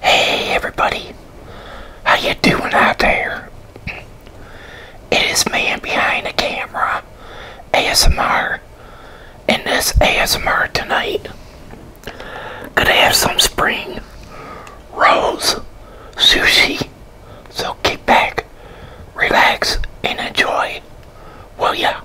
Hey everybody, how you doing out there? It is man behind the camera, ASMR, and this ASMR tonight. Gonna have some spring rose sushi, so kick back, relax, and enjoy, will ya?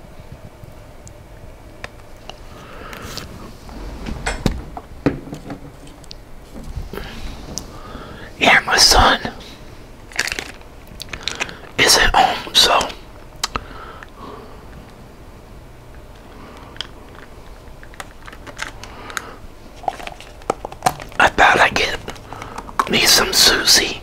Yeah, my son is at home, so I thought I'd get me some Susie.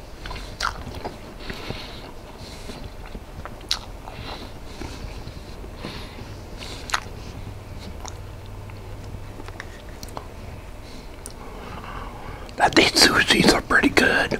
I think sushis are pretty good.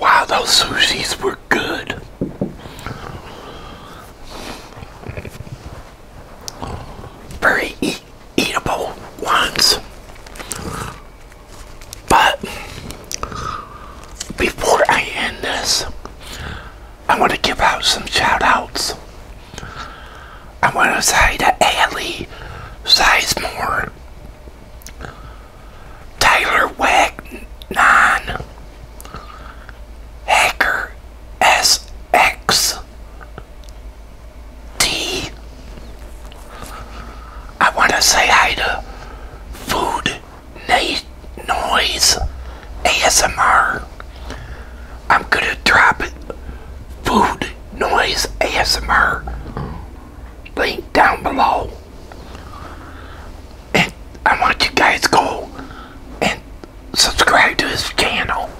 Wow, those sushis were good. Very eatable ones. But before I end this, I want to give out some shout outs. I want to say to Allie Sizemore, Tyler 9 Hacker SX tea. I want to say hi to Food Noise ASMR. I'm going to drop it. Food Noise ASMR link down below. And I want you guys go and subscribe to his channel.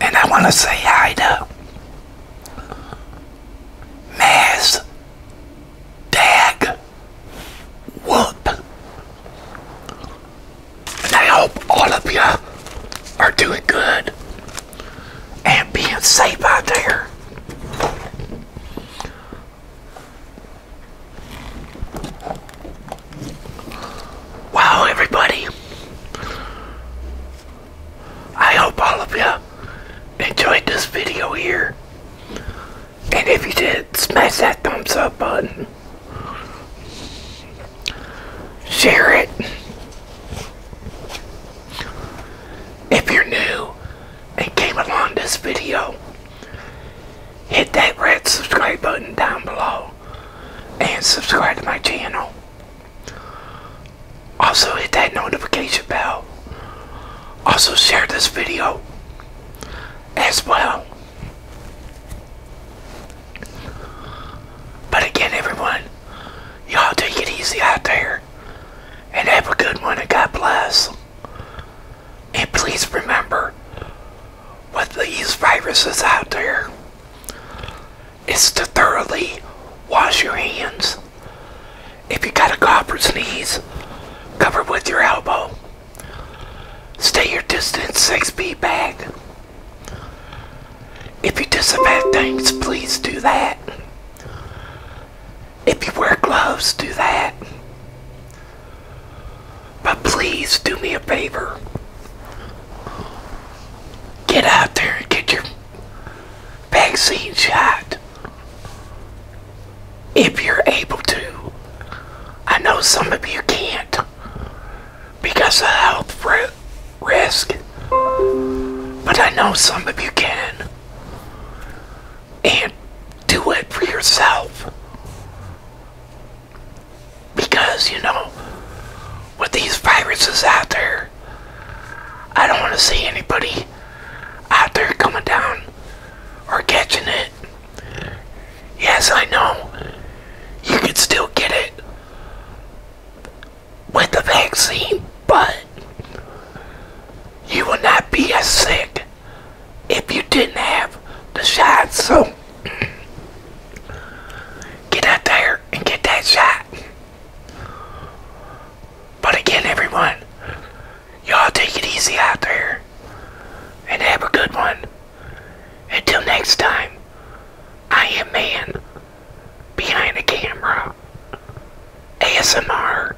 And I want to say hi to Mass Dag Whoop. And I hope all of you are doing good and being safe out there. Wow, everybody. I hope all of you enjoyed this video here. And if you did, smash that thumbs up button. Share it. If you're new and came along this video, hit that red subscribe button down below and subscribe to my channel. Also hit that notification bell. Also share this video as well. But again everyone, y'all take it easy out there. And have a good one and God bless. And please remember, with these viruses out there, is to thoroughly wash your hands. If you got a cough or sneeze, cover with your elbow. Stay your distance six feet back. If you disinfect things, please do that. If you wear gloves, do that. But please do me a favor get out there and get your vaccine shot if you're able to. I know some of you can't because of health risk, but I know some of you can. And do it for yourself. Because, you know, with these viruses out there, I don't want to see anybody out there coming down or catching it. Yes, I know you could still get it with the vaccine, but you will not be as sick if you didn't have the shot. So. Get out there and get that shot. But again, everyone, y'all take it easy out there and have a good one. Until next time, I am man behind the camera, ASMR,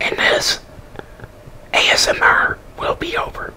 and this ASMR will be over.